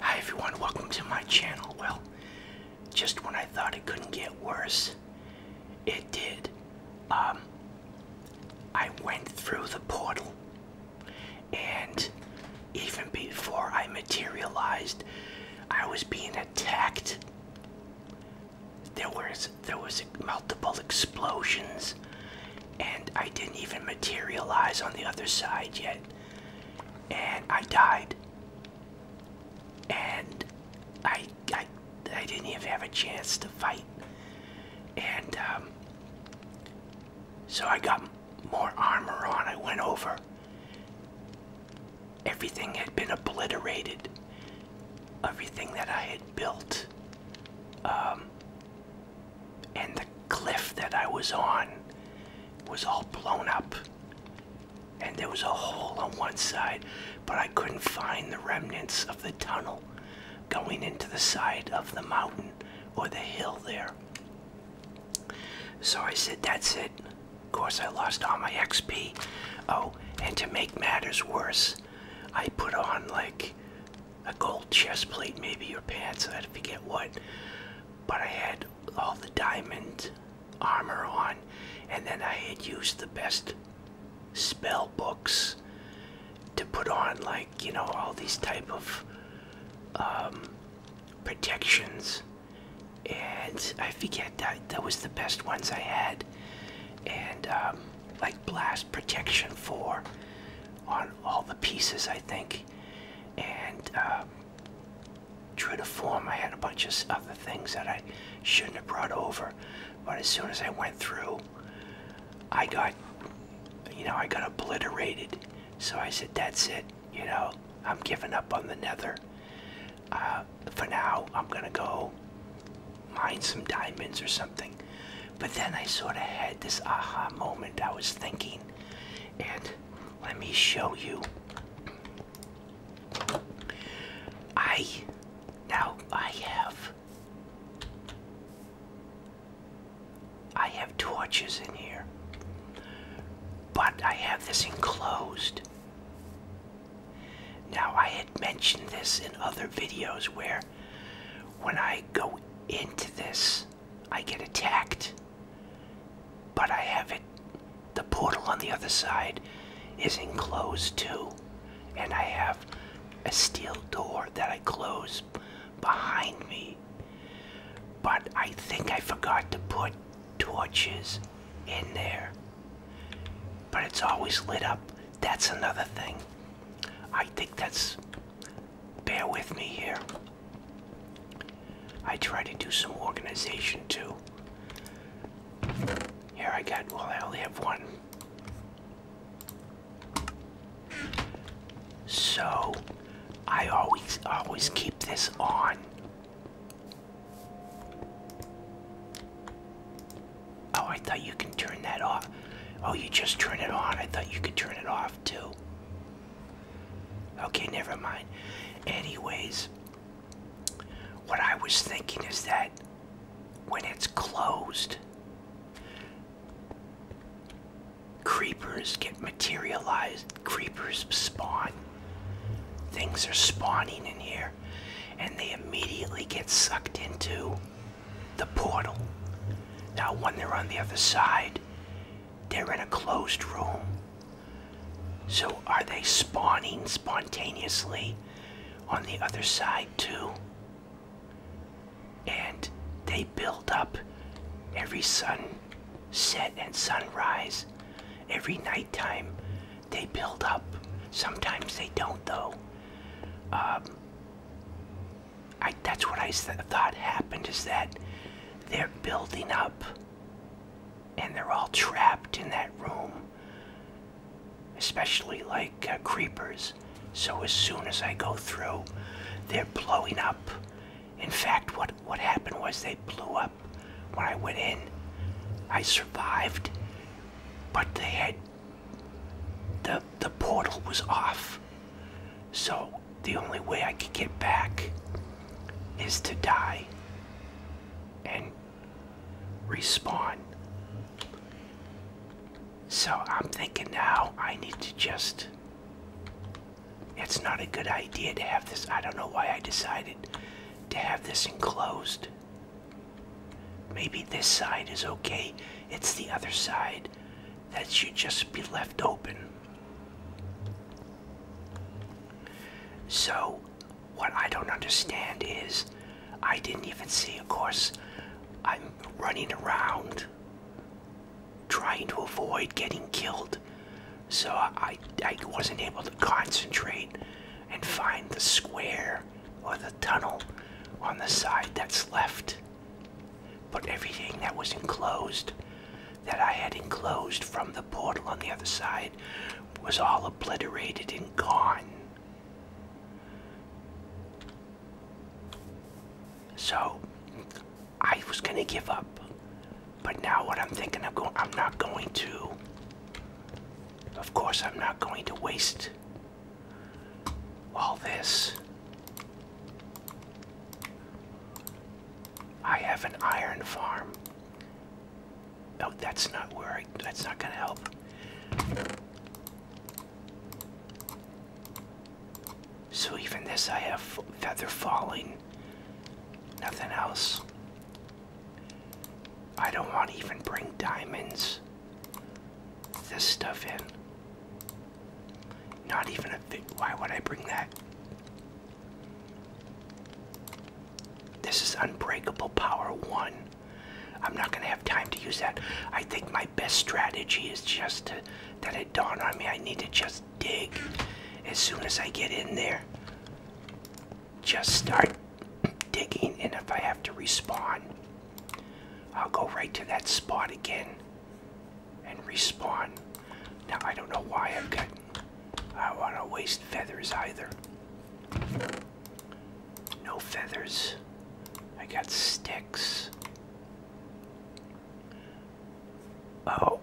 Hi everyone, welcome to my channel. Well, just when I thought it couldn't get worse, it did. Um, I went through the portal, and even before I materialized, I was being attacked. There was there was multiple explosions, and I didn't even materialize on the other side yet and I died. And I, I, I didn't even have a chance to fight. And um, so I got more armor on. I went over. Everything had been obliterated. Everything that I had built um, and the cliff that I was on was all blown up. And there was a hole on one side, but I couldn't find the remnants of the tunnel going into the side of the mountain or the hill there. So I said, That's it. Of course, I lost all my XP. Oh, and to make matters worse, I put on like a gold chest plate, maybe or pants, I forget what but I had all the diamond armor on, and then I had used the best spell books to put on, like you know, all these type of um, protections, and I forget that that was the best ones I had, and um, like blast protection for on all the pieces, I think and um, true to form, I had a bunch of other things that I shouldn't have brought over. But as soon as I went through, I got, you know, I got obliterated. So I said, that's it. You know, I'm giving up on the nether. Uh, for now, I'm gonna go mine some diamonds or something. But then I sort of had this aha moment. I was thinking, and let me show you. I now I have I have torches in here, but I have this enclosed. Now I had mentioned this in other videos where when I go into this I get attacked, but I have it. The portal on the other side is enclosed too, and I have a steel door that I close behind me. But I think I forgot to put torches in there. But it's always lit up. That's another thing. I think that's. Bear with me here. I try to do some organization too. Here I got, well, I only have one. So, I always, always keep this on. Oh, I thought you can turn that off. Oh, you just turn it on. I thought you could turn it off too. Okay, never mind. Anyways, what I was thinking is that when it's closed, creepers get materialized, creepers spawn. Things are spawning in here, and they immediately get sucked into the portal. Now, when they're on the other side, they're in a closed room. So are they spawning spontaneously on the other side too? And they build up every sun set and sunrise. Every nighttime they build up. Sometimes they don't though. Um, I, that's what I thought happened is that they're building up and they're all trapped in that room especially like uh, creepers so as soon as i go through they're blowing up in fact what what happened was they blew up when i went in i survived but they had the the portal was off so the only way I could get back is to die and respawn. So I'm thinking now I need to just. It's not a good idea to have this. I don't know why I decided to have this enclosed. Maybe this side is okay. It's the other side that should just be left open. So, what I don't understand is I didn't even see, of course, I'm running around trying to avoid getting killed. So I, I wasn't able to concentrate and find the square or the tunnel on the side that's left. But everything that was enclosed that I had enclosed from the portal on the other side was all obliterated and gone. So I was gonna give up, but now what I'm thinking, I'm going. I'm not going to. Of course, I'm not going to waste all this. I have an iron farm. No, oh, that's not where that's not gonna help. So even this I have feather falling. Nothing else. I don't want to even bring diamonds. This stuff in. Not even a big. Why would I bring that? This is Unbreakable Power 1. I'm not going to have time to use that. I think my best strategy is just that it dawned on me. I need to just dig as soon as I get in there. Just start digging, and if I have to respawn, I'll go right to that spot again and respawn. Now, I don't know why i am getting. I don't want to waste feathers either. No feathers. I got sticks. Oh.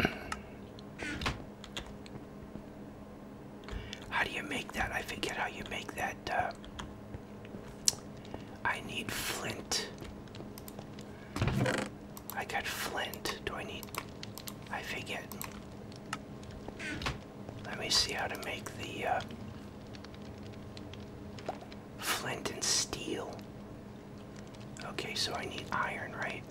How do you make that? I forget how you make that. Uh, I need flint. I got flint. Do I need. I forget. Let me see how to make the uh, flint and steel. Okay, so I need iron, right?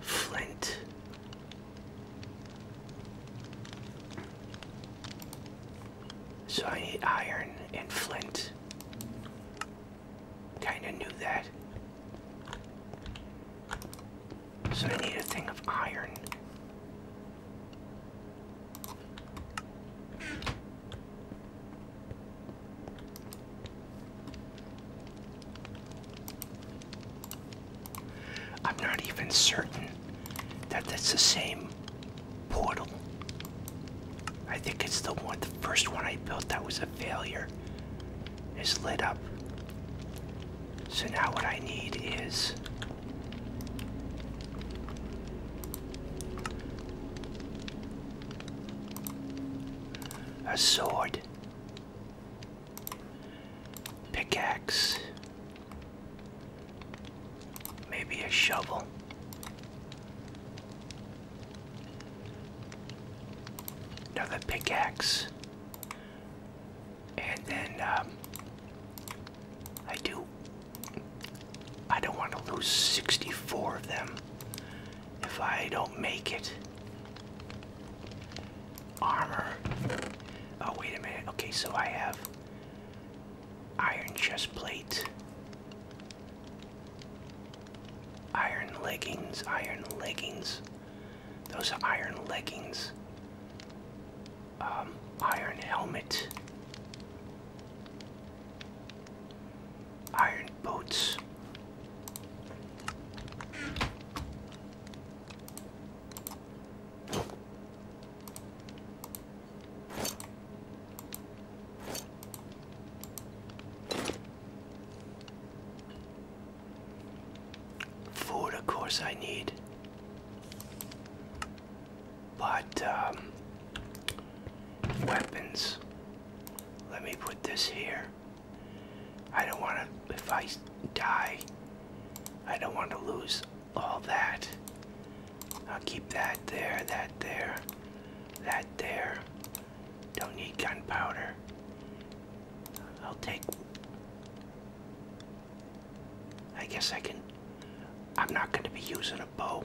Flint so I need iron and flint. Kinda knew that. So I need a thing of iron. I'm not even certain that that's the same portal. I think it's the one, the first one I built that was a failure. Is lit up. So now what I need is a sword, pickaxe, Maybe a shovel. Another pickaxe. And then um, I do. I don't want to lose 64 of them if I don't make it. Armor. Oh, wait a minute. Okay, so I have Iron chest plate. Iron leggings, iron leggings. Those iron leggings. Um, iron helmet. Iron boots. Food, of course, I need. But, um, weapons. Let me put this here. I don't want to, if I die, I don't want to lose all that. I'll keep that there, that there, that there. Don't need gunpowder. I'll take. I guess I can. I'm not going to be using a bow.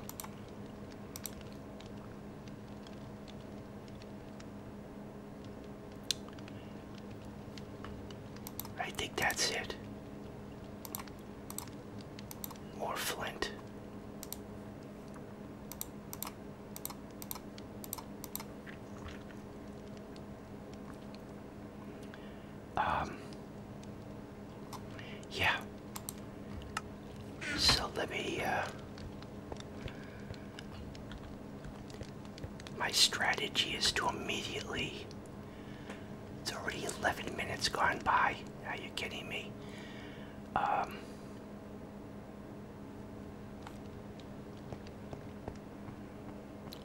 I think that's it. Or flint. Um, yeah. So let me, uh, my strategy is to immediately it's already 11 minutes gone by. Are you kidding me? Um,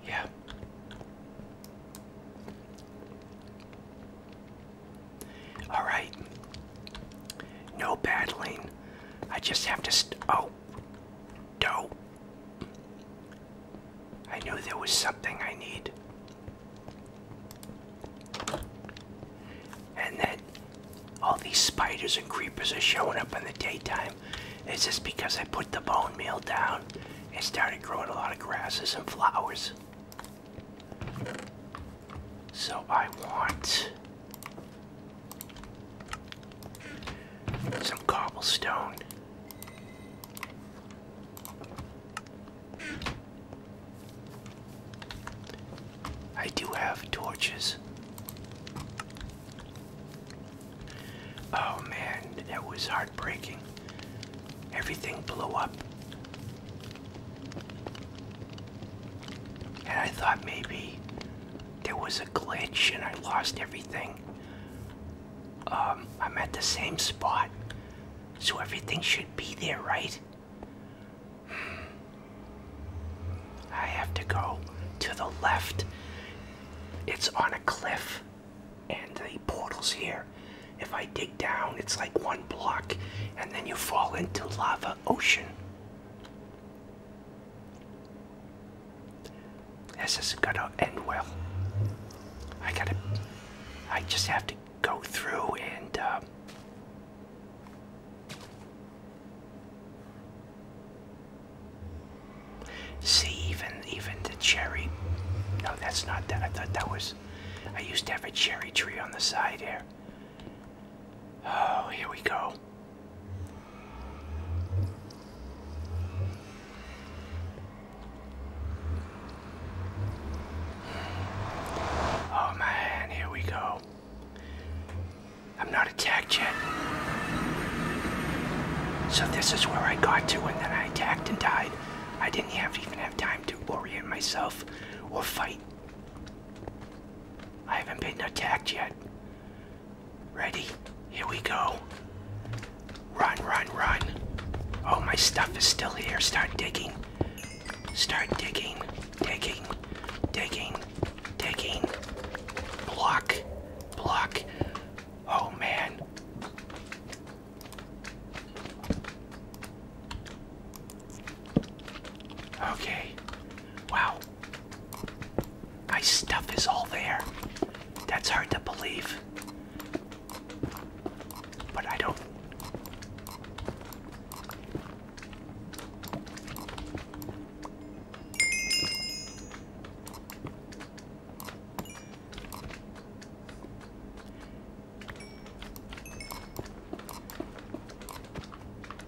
yeah. All right. No battling. I just have to. oh. No. I knew there was something I need. And then all these spiders and creepers are showing up in the daytime. It's just because I put the bone meal down and started growing a lot of grasses and flowers. So I want some cobblestone. I do have torches. Oh man, that was heartbreaking. Everything blew up. And I thought maybe there was a glitch and I lost everything. Um, I'm at the same spot so everything should be there, right? I have to go to the left. It's on a cliff, and the portal's here. If I dig down, it's like one block, and then you fall into lava ocean. This isn't gonna end well. I gotta I just have to go through and uh, see even even the cherry. No, that's not that. I thought that was. I used to have a cherry tree on the side here. Oh, here we go. Oh man, here we go. I'm not attacked yet. So this is where I got to and then I attacked and died. I didn't even have time to orient myself or fight. I haven't been attacked yet. Ready? Here we go. Run, run, run. Oh, my stuff is still here. Start digging. Start digging. Digging. Digging. Digging. Block. Block. Oh, man. Okay. Wow. My stuff is all there. That's hard to believe. But I don't.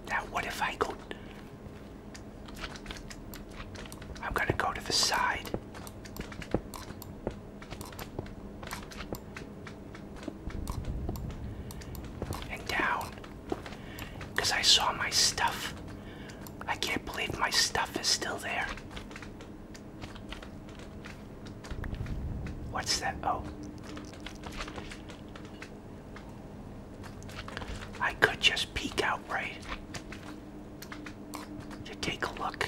Now, what if I go? I'm going to go to the side and down because I saw my stuff. I can't believe my stuff is still there. What's that? Oh. I could just peek out, right? To take a look.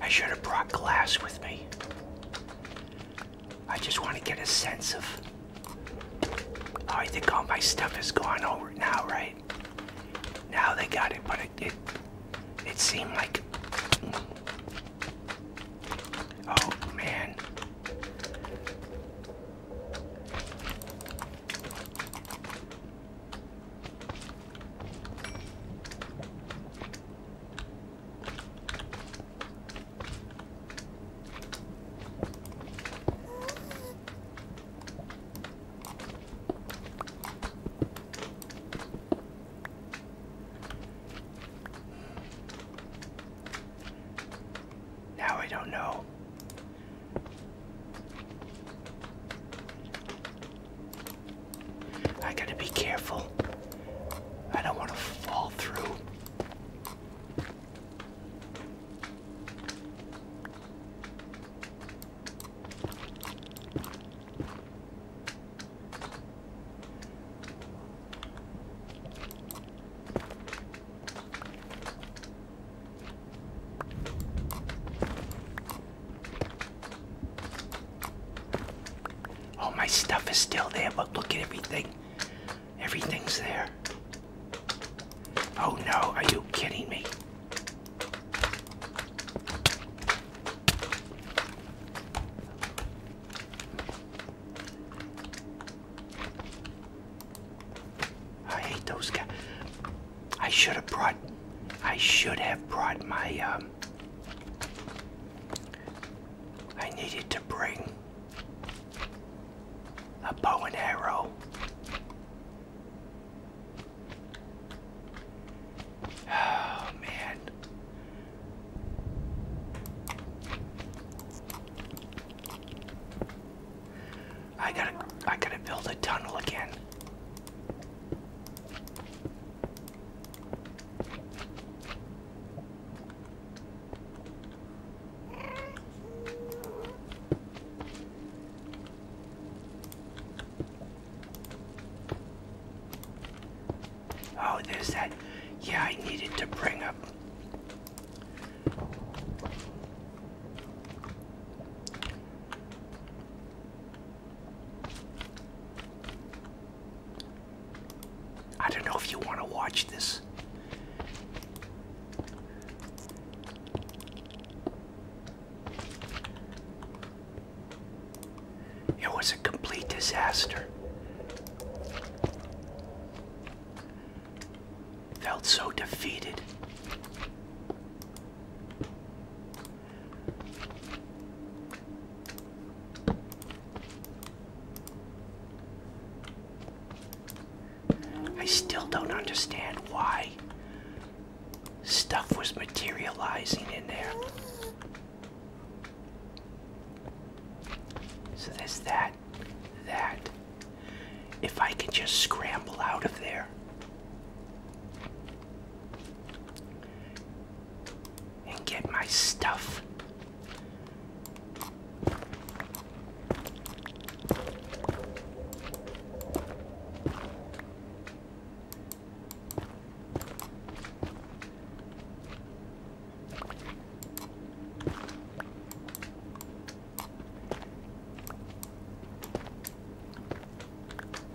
I should have brought glass with me. I just want to get a sense of. Oh, I think all my stuff is gone over now, right? Now they got it, but it it, it seemed like. Oh man. Now I don't know I gotta be careful. I don't want to fall through. All oh, my stuff is still there, but look at everything. Everything's there. Oh no, are you kidding me? I hate those guys. I should have brought I should have brought my um, I needed to bring a bow and arrow. Oh man. I gotta I gotta build a tunnel again. Oh, there's that. Yeah, I needed to bring up. I don't know if you want to watch this. It was a complete disaster. Felt so defeated. I still don't understand why stuff was materializing in there. So there's that, that. If I can just scramble out of there and get my stuff.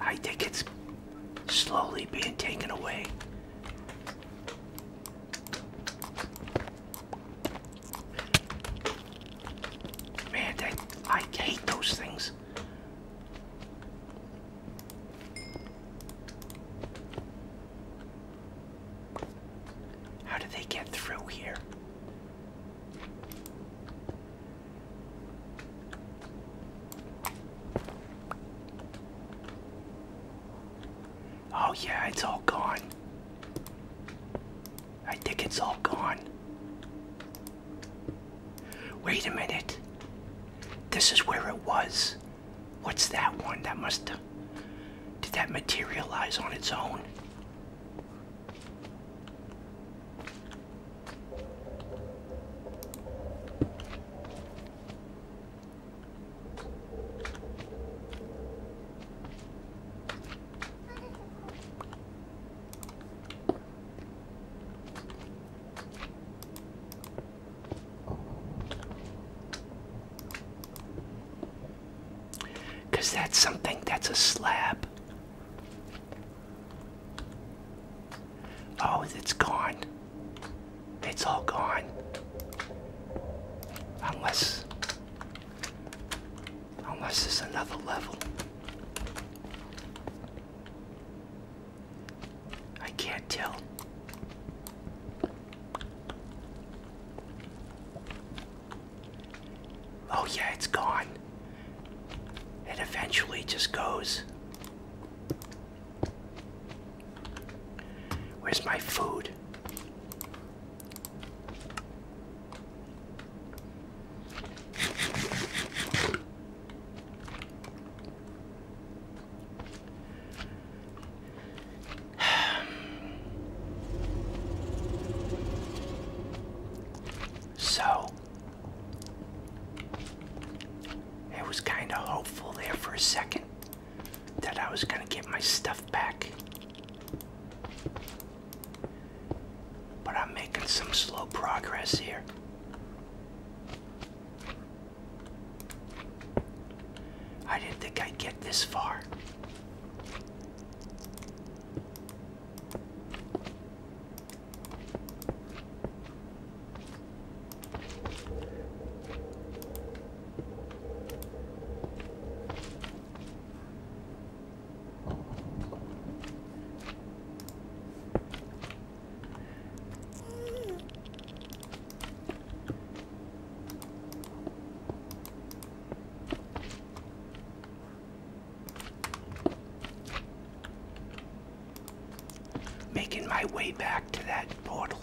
I think it's slowly being taken away. Man, I hate those things. How did they get through here? Oh, yeah, it's all gone. I think it's all gone. Wait a minute. This is where it was. What's that one? That must have. Did that materialize on its own? Because that's something that's a slab. Oh, it's gone. It's all gone. Unless, unless there's another level. I can't tell. Oh yeah, it's gone. It eventually just goes. Where's my food? so I was kind of hopeful there for a second that I was going to get my stuff back. But I'm making some slow progress here. I didn't think I'd get this far. Making my way back to that portal.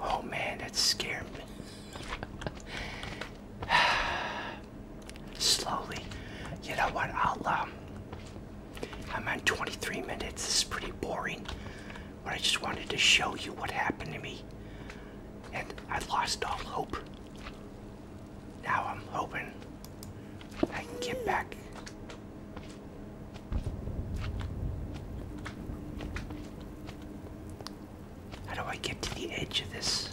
Oh man, that scared me. Slowly, you know what? I'll um, I'm on 23 minutes. This is pretty boring, but I just wanted to show you what happened to me. And I lost all hope. Now I'm hoping I can get back. How do I get to the edge of this?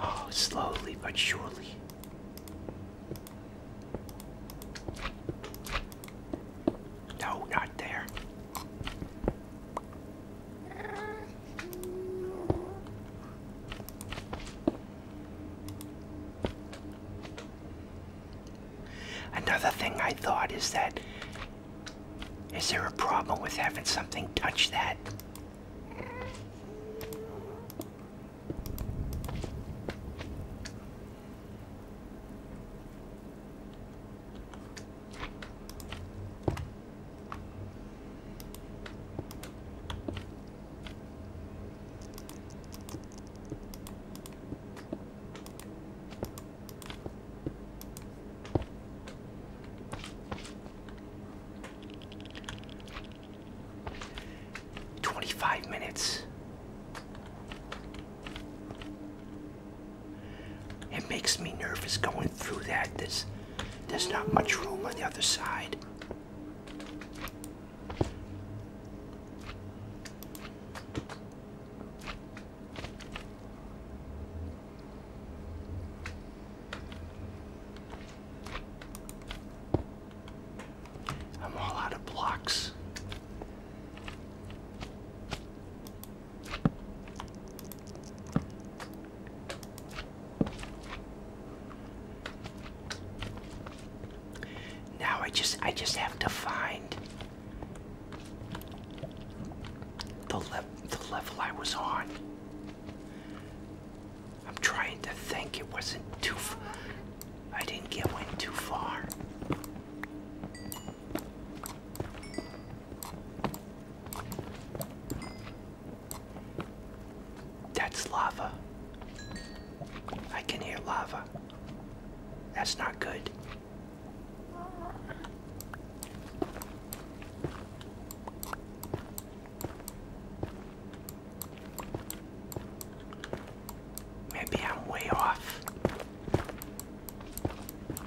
Oh, slowly but surely. No, not there. Another thing I thought is that is there a problem with having something touch that? 25 minutes. It makes me nervous going through that. There's, there's not much room on the other side. I'm all out of blocks. Now I just I just have to find the level the level I was on. I'm trying to think it wasn't too f I didn't get in too far. That's lava. I can hear lava. That's not good. Maybe I'm way off.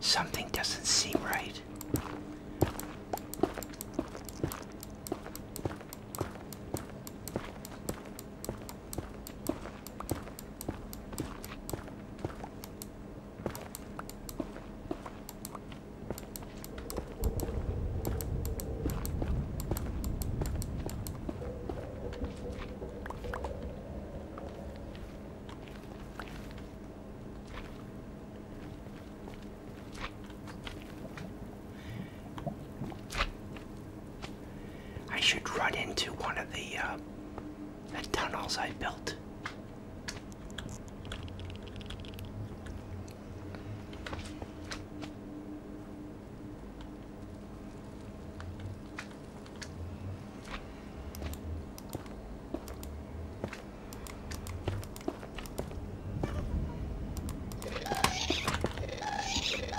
Something doesn't seem right. I should run into one of the, uh, the tunnels I built.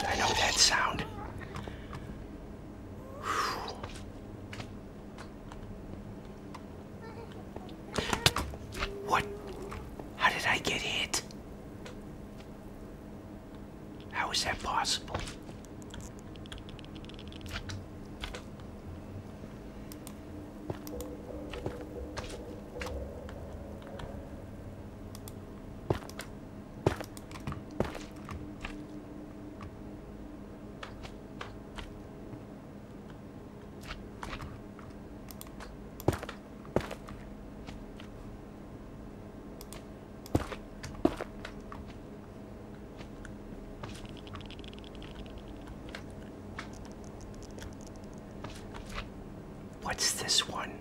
I know that sound. What? How did I get hit? How is that possible? What's this one?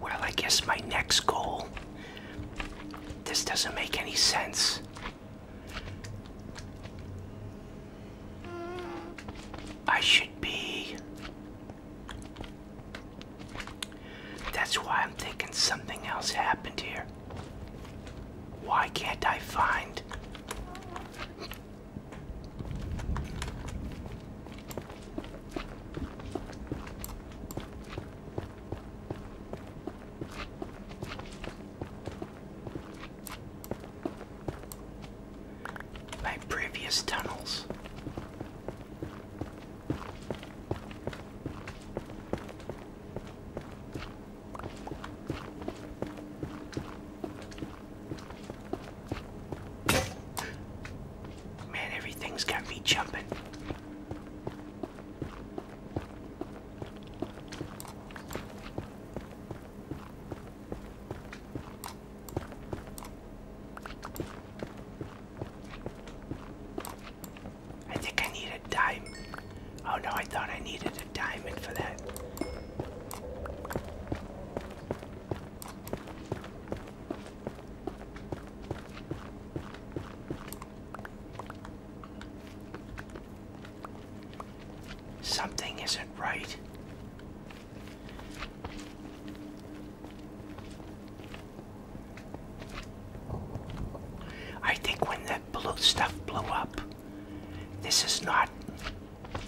Well, I guess my next goal. This doesn't make any sense. I should be that's why I'm thinking something else happened here. Why can't I find? my previous tunnels. Man, everything's got me jumping. I think I need a diamond. Oh no, I thought I needed a diamond for that. Something isn't right. I think when that blue stuff blew up, this is not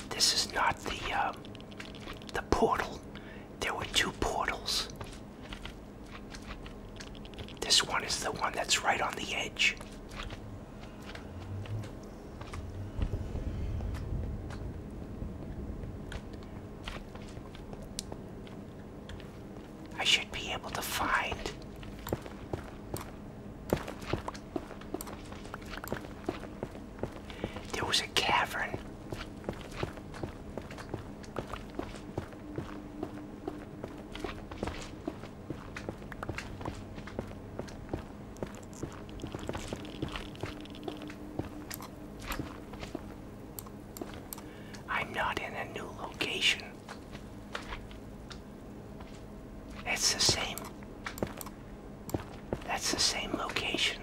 this is not the um, the portal. There were two portals. This one is the one that's right on the edge. I should be able to find there was a cavern I'm not in a new location. It's the same. That's the same location.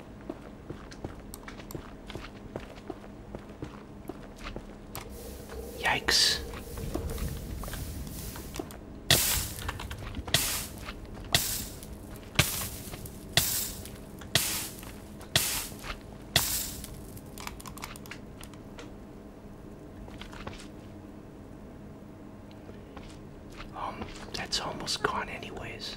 Yikes. Um, that's almost gone anyways.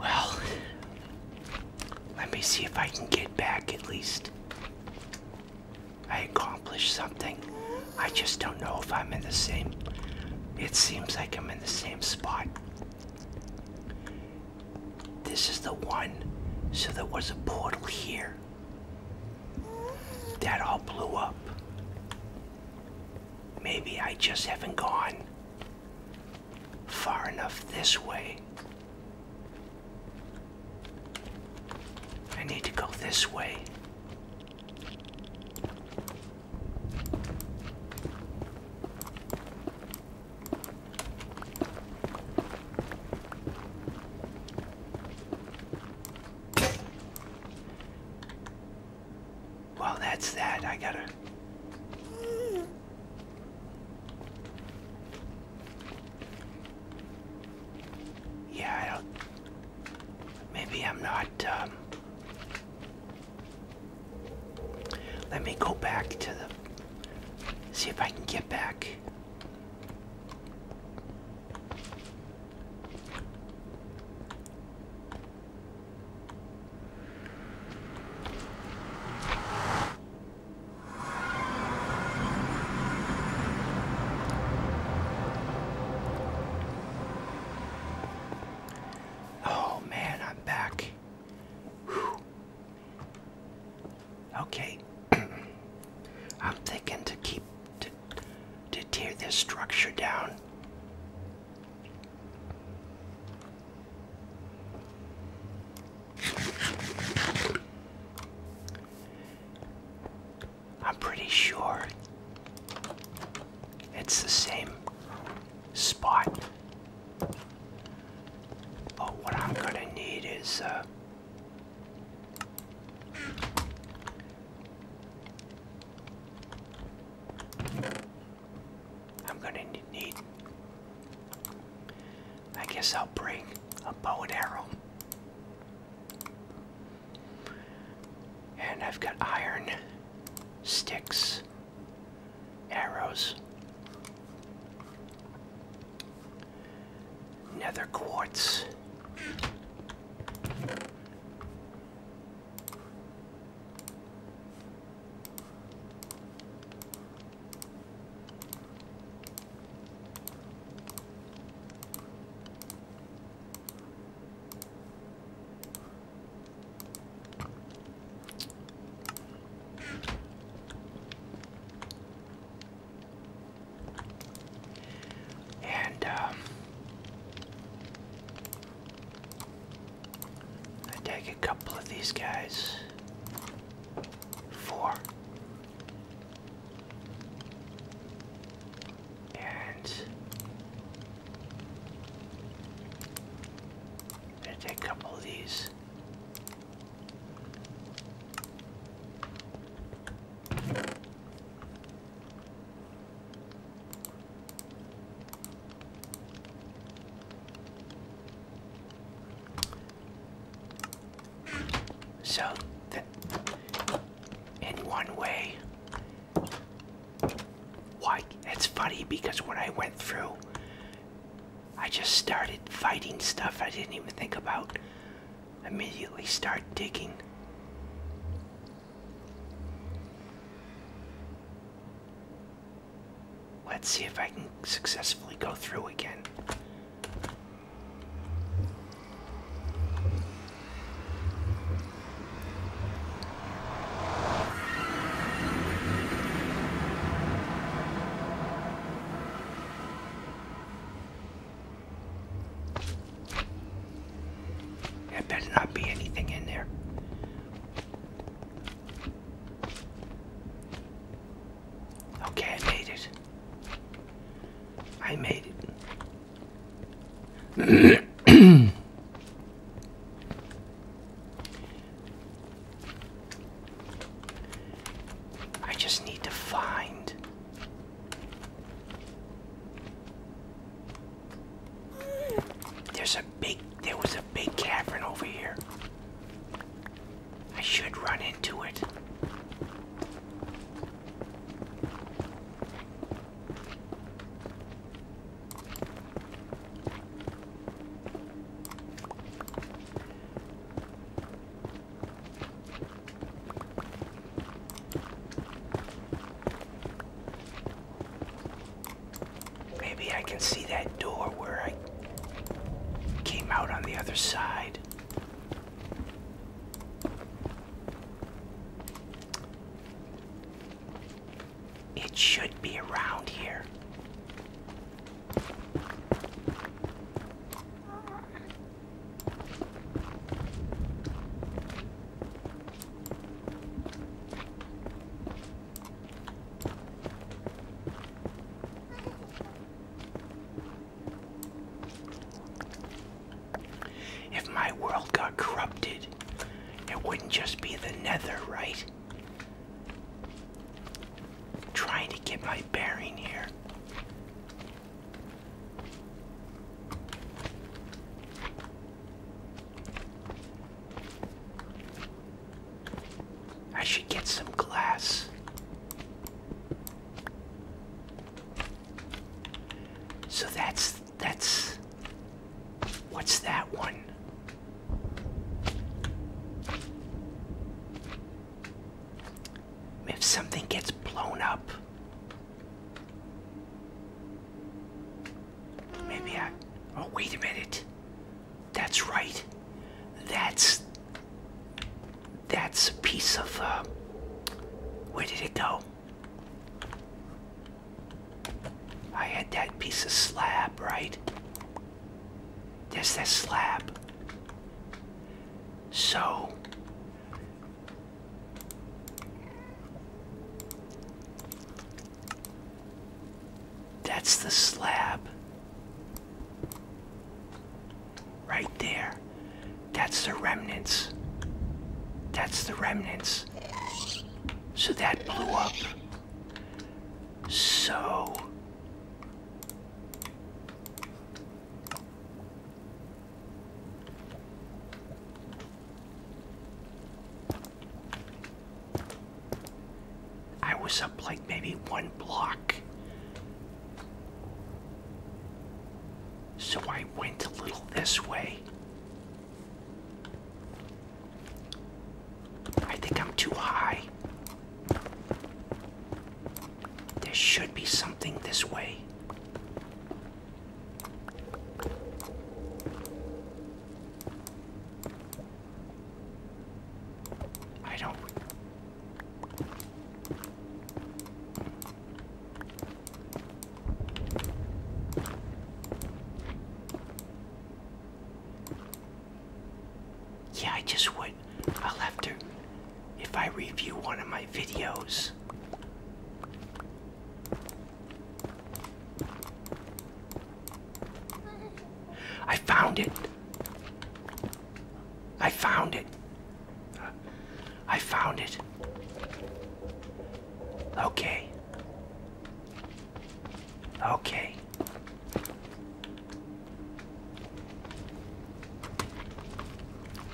Well, let me see if I can get back at least. I accomplished something. I just don't know if I'm in the same. It seems like I'm in the same spot this is the one. So there was a portal here. That all blew up. Maybe I just haven't gone far enough this way. I need to go this way. Well, that's that. I gotta. Yeah, I don't. Maybe I'm not. Um... Let me go back to the. See if I can get back. Oh man, I'm back. Okay. I'm thinking to keep to, to tear this structure down. I'm pretty sure it's the same spot. But what I'm gonna need is uh, I'm gonna need. I guess I'll bring a bow and arrow. And I've got iron, sticks, arrows. Nether quartz. And um, I take a couple of these guys. Four. And I'm gonna take a couple of these. So, in one way, why it's funny because when I went through, I just started fighting stuff I didn't even think about immediately start digging. Let's see if I can successfully go through again. There better not be anything in there. Okay, I made it. I made it. I just need to find There's a big there was a big cavern over here. I should run into it. Maybe I can see that door where I came out on the other side. It should be around here. If my world got corrupted, it wouldn't just be the nether, right? Trying to get my bearing here. I should get some glass. So that's that's what's that one? If something gets blown up, maybe I. Oh, wait a minute. That's right. That's. That's a piece of. Uh, where did it go? I had that piece of slab, right? There's that slab. So, that's the slab. Right there. That's the remnants. That's the remnants. So that blew up. So I was up like maybe one block. So I went a little this way. I think I'm too high. There should be something this way. I don't. Yeah, I just point, I'll have to, if I review one of my videos, I found it. I found it. I found it. Okay. Okay.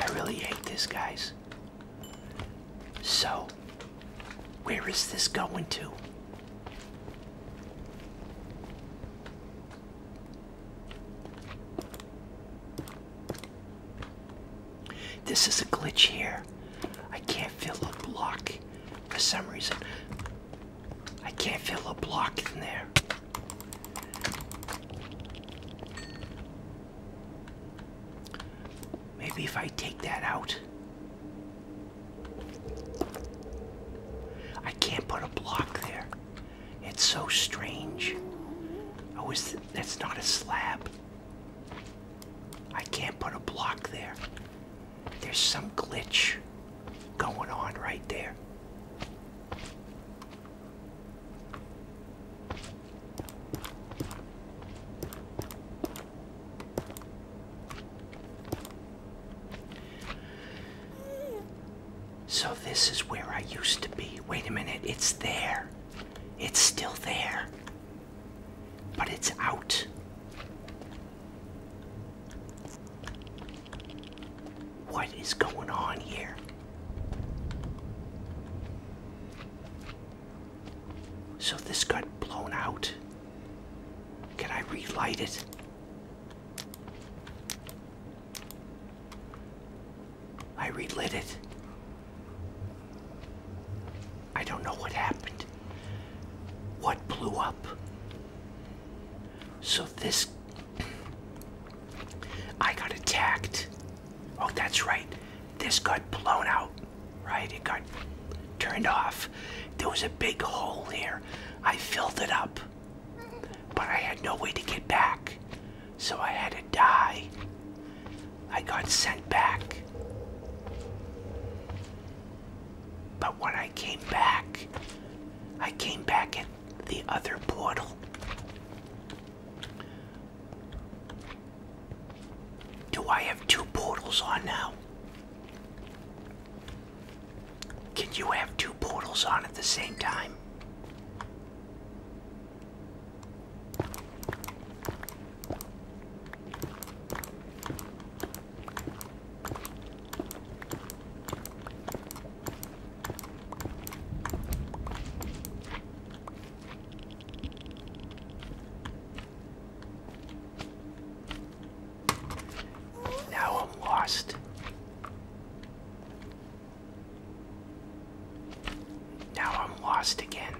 I really hate this, guys. So, where is this going to? This is a glitch here. I can't feel a block for some reason. I can't feel a block in there. Maybe if I take that out. I can't put a block there. It's so strange. Oh, is th that's not a slab. I can't put a block there. There's some glitch going on right there. So this is where I used to be. Wait a minute, it's there. It's still there. But it's out. What is going on here? So this got blown out. Can I relight it? I relit it. I don't know what happened. What blew up? So this I got attacked. Oh, that's right. This got blown out, right? It got turned off. There was a big hole here. I filled it up, but I had no way to get back. So I had to die. I got sent back. But when I came back, I came back at the other portal. Do I have two portals on now? Can you have two portals on at the same time? Now I'm lost. Now I'm lost again.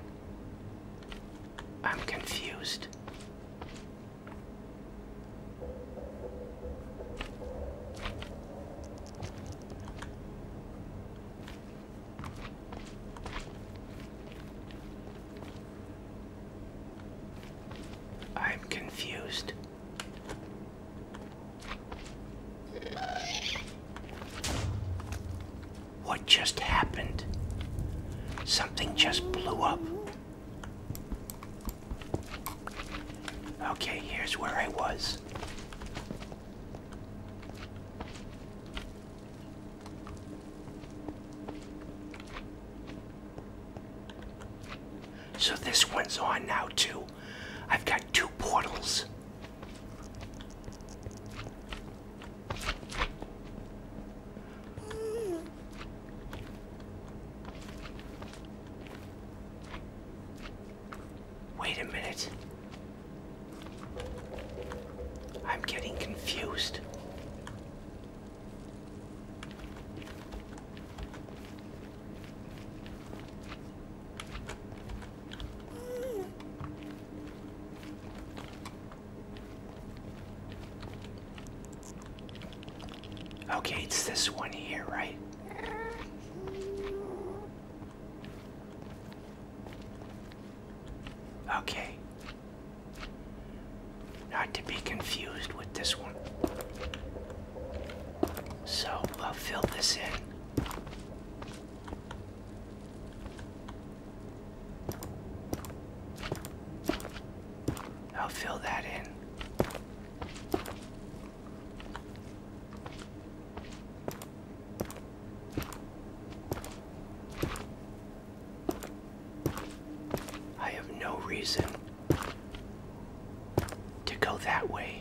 I'm confused. I'm confused. What just happened? Something just blew up. Okay, here's where I was. So this one's on now too. I've got two portals. Wait a minute. I'm getting confused. Okay, it's this one here, right? Okay. Not to be confused with this one. So I'll fill this in. I'll fill that in. I have no reason to go that way.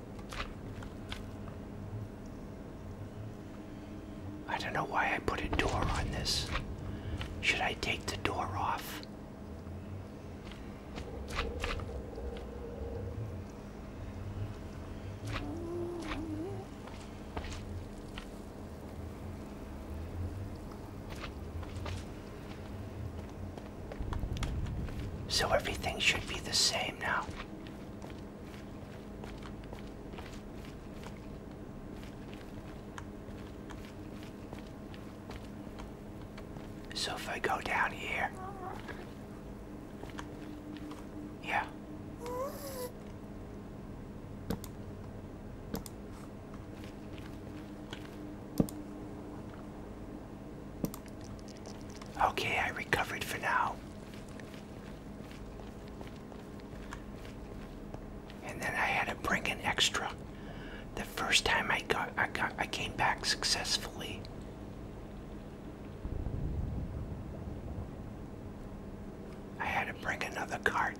I don't know why I put a door on this. Should I take the door off? So everything should be the same now. So if I go down here, yeah. Okay, I recovered for now. And then I had to bring an extra. The first time I got, I got, I came back successfully. I had to bring another cart.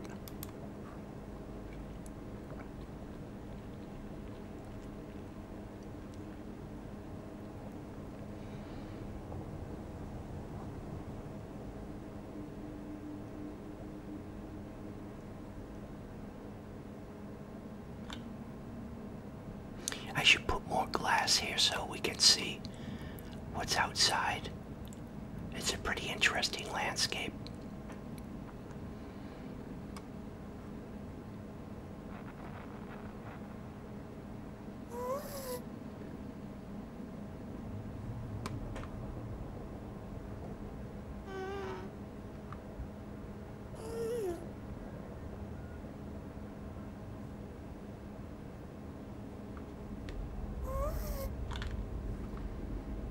I should put more glass here so we can see what's outside. It's a pretty interesting landscape.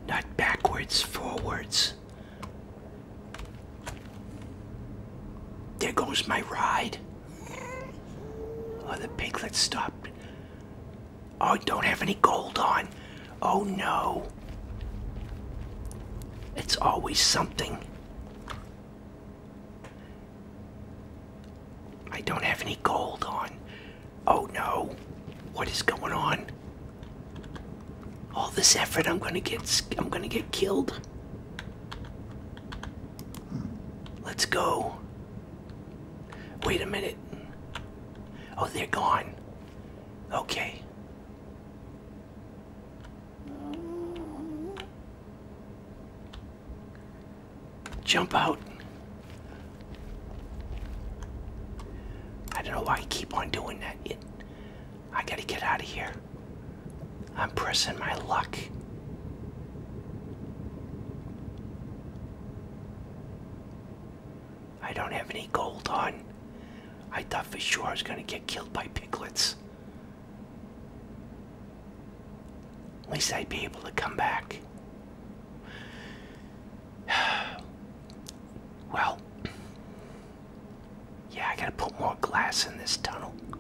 Not backwards, forwards. There goes my ride. Oh, the piglet stopped. Oh, I don't have any gold on. Oh no. It's always something. I don't have any gold on. Oh no. What is going on? All this effort, I'm gonna get, I'm gonna get killed. Let's go. Wait a minute. Oh, they're gone. Okay. Jump out. I don't know why I keep on doing that. I gotta get out of here. I'm pressing my luck. I don't have any gold on. I thought for sure I was going to get killed by piglets. At least I'd be able to come back. well, yeah, I gotta put more glass in this tunnel well.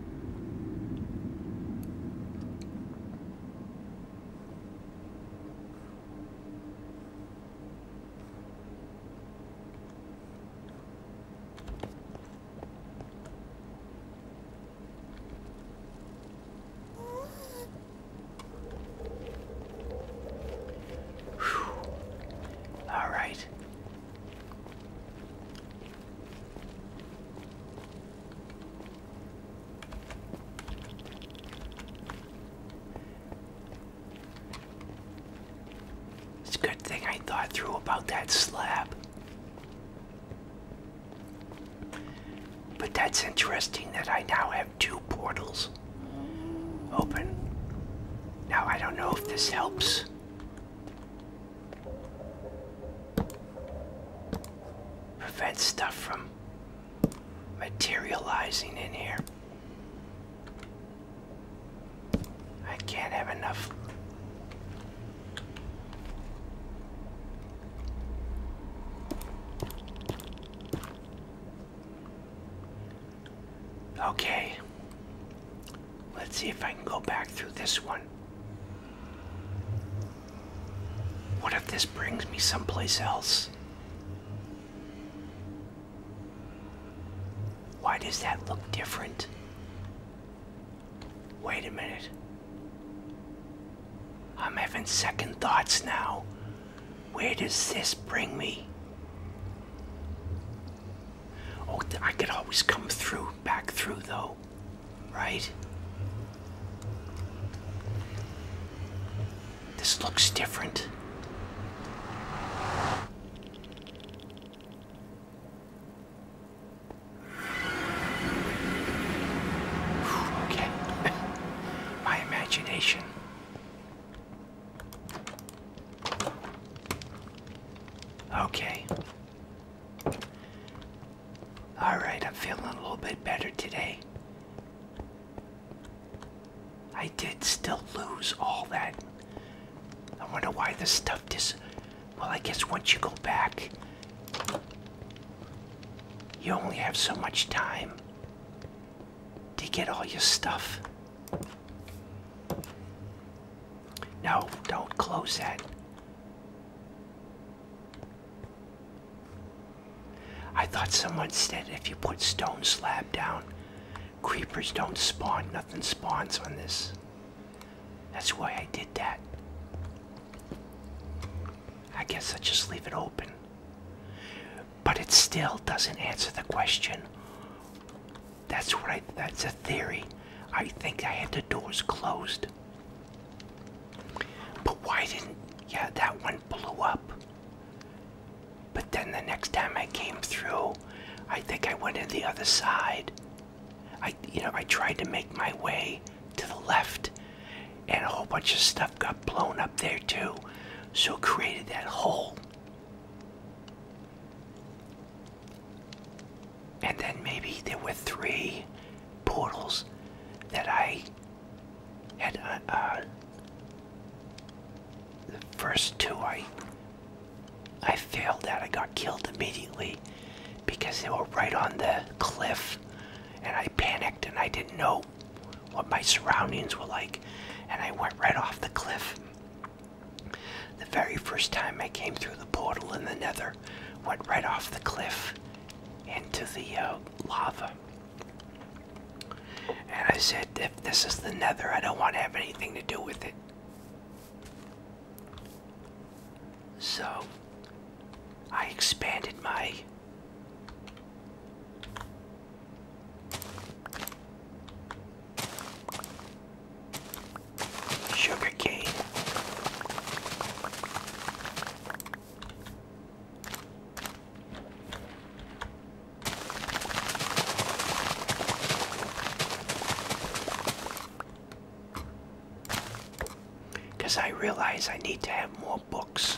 All right. It's a good thing I thought through about that slab. But that's interesting that I now have two portals open. Now, I don't know if this helps Prevent stuff from materializing in here. I can't have enough. Okay. Let's see if I can go back through this one. What if this brings me someplace else? Why does that look different? Wait a minute. I'm having second thoughts now. Where does this bring me? Oh, I could always come through, back through though. Right? This looks different. Okay. My imagination. Okay. Alright, I'm feeling a little bit better today. I did still lose all that. I wonder why this stuff just... Well, I guess once you go back, you only have so much time to get all your stuff. No, don't close that. I thought someone said if you put stone slab down, creepers don't spawn, nothing spawns on this. That's why I did that. I guess I just leave it open. But it still doesn't answer the question. That's what I, that's a theory. I think I had the doors closed but why didn't, yeah, that one blew up. But then the next time I came through, I think I went in the other side. I, you know, I tried to make my way to the left, and a whole bunch of stuff got blown up there too. So created that hole. And then maybe there were three portals that I had. Uh, uh, the first two I I failed at. I got killed immediately because they were right on the cliff, and I panicked and I didn't know what my surroundings were like, and I went right off the cliff. The very first time I came through the portal in the nether, went right off the cliff into the uh, lava. And I said, if this is the nether, I don't want to have anything to do with it. So, I expanded my sugar cane because I realize I need to have more books.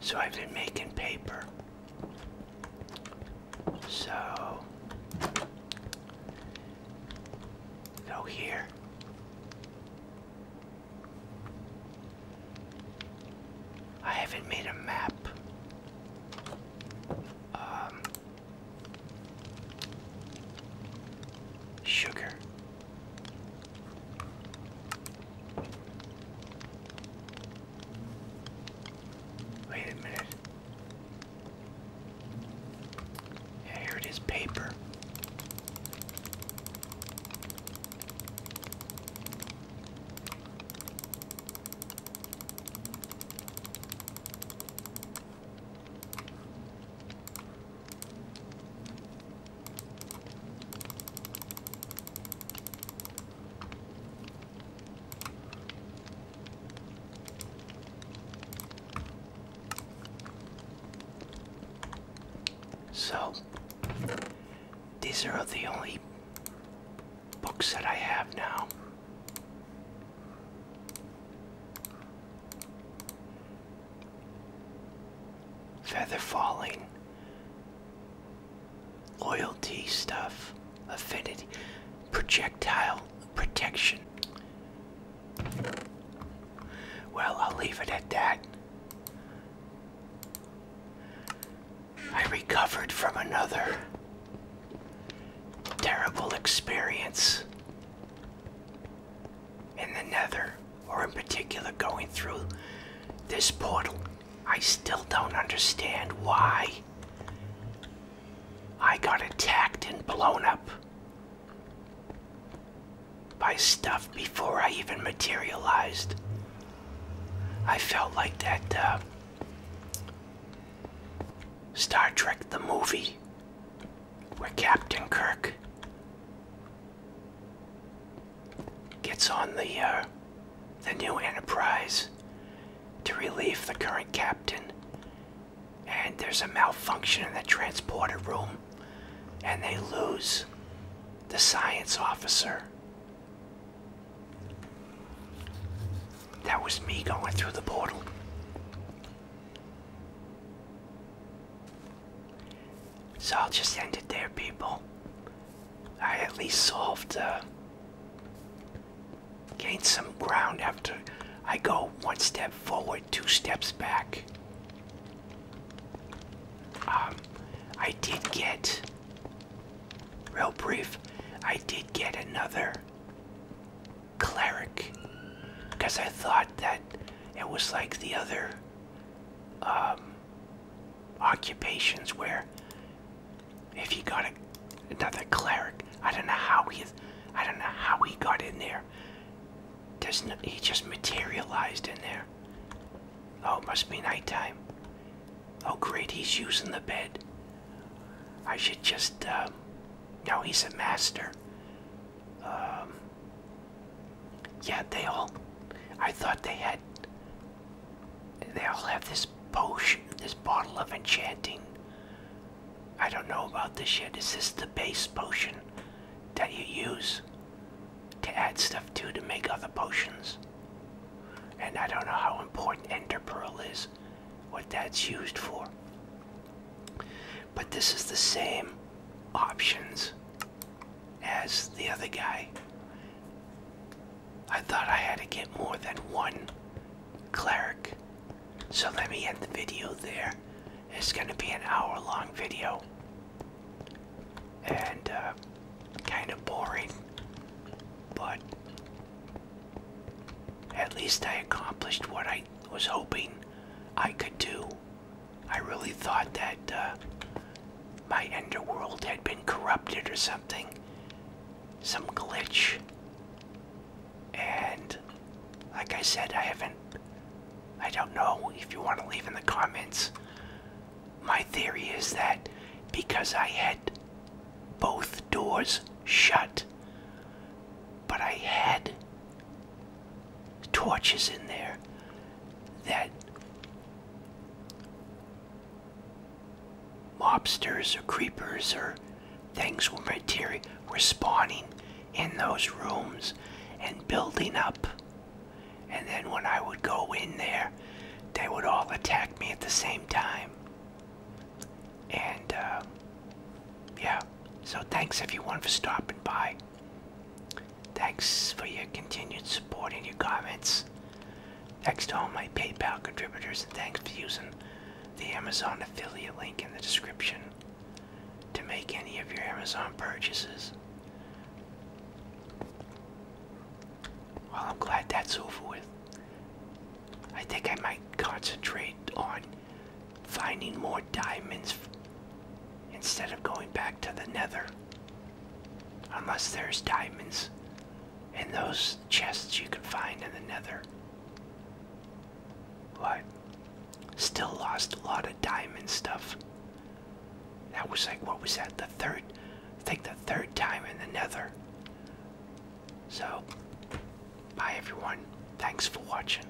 So I've been making paper. So go here. I haven't made a map. Um, sugar. Wait a minute. Yeah, here it is, paper. So, these are the only books that I have now feather falling, loyalty stuff, affinity, projectile protection. Well, I'll leave it at that. I recovered from another terrible experience in the nether, or in particular going through this portal, I still don't understand why I got attacked and blown up by stuff before I even materialized. I felt like that uh, Star Trek the movie where Captain Kirk gets on the uh, the new Enterprise to relieve the current captain, and there's a malfunction in the transporter room, and they lose the science officer. That was me going through the portal. So I'll just end it there, people. I at least solved, uh, gained some ground after I go one step forward, two steps back. Um, I did get, real brief, I did get another cleric because I thought that it was like the other um, occupations where if you got another cleric, I don't know how he, I don't know how he got in there. There's no, he just materialized in there. Oh, it must be nighttime. Oh, great, he's using the bed. I should just, um, no, he's a master um, yeah, they all. I thought they had. They all have this potion, this bottle of enchanting. I don't know about this yet. Is this the base potion that you use to add stuff to to make other potions? And I don't know how important enter Pearl is, what that's used for. But this is the same options as the other guy. I thought I had to get more than one cleric. So let me end the video there. It's going to be an hour long video. And uh, kind of boring. But at least I accomplished what I was hoping I could do. I really thought that uh, my underworld had been corrupted or something. Some glitch. And like I said, I haven't. I don't know if you want to leave in the comments. My theory is that because I had both doors shut, but I had torches in there that lobsters or creepers or things were material were spawning in those rooms and building up and then when I would go in there they would all attack me at the same time and uh, yeah so thanks everyone for stopping by Thanks for your continued support and your comments. Thanks to all my PayPal contributors and thanks for using the Amazon affiliate link in the description to make any of your Amazon purchases. Well, I'm glad that's over with. I think I might concentrate on finding more diamonds instead of going back to the nether. Unless there's diamonds in those chests you can find in the nether. But still lost a lot of diamond stuff. That was like, what was that? The third, I think the third time in the nether. So, bye everyone. Thanks for watching.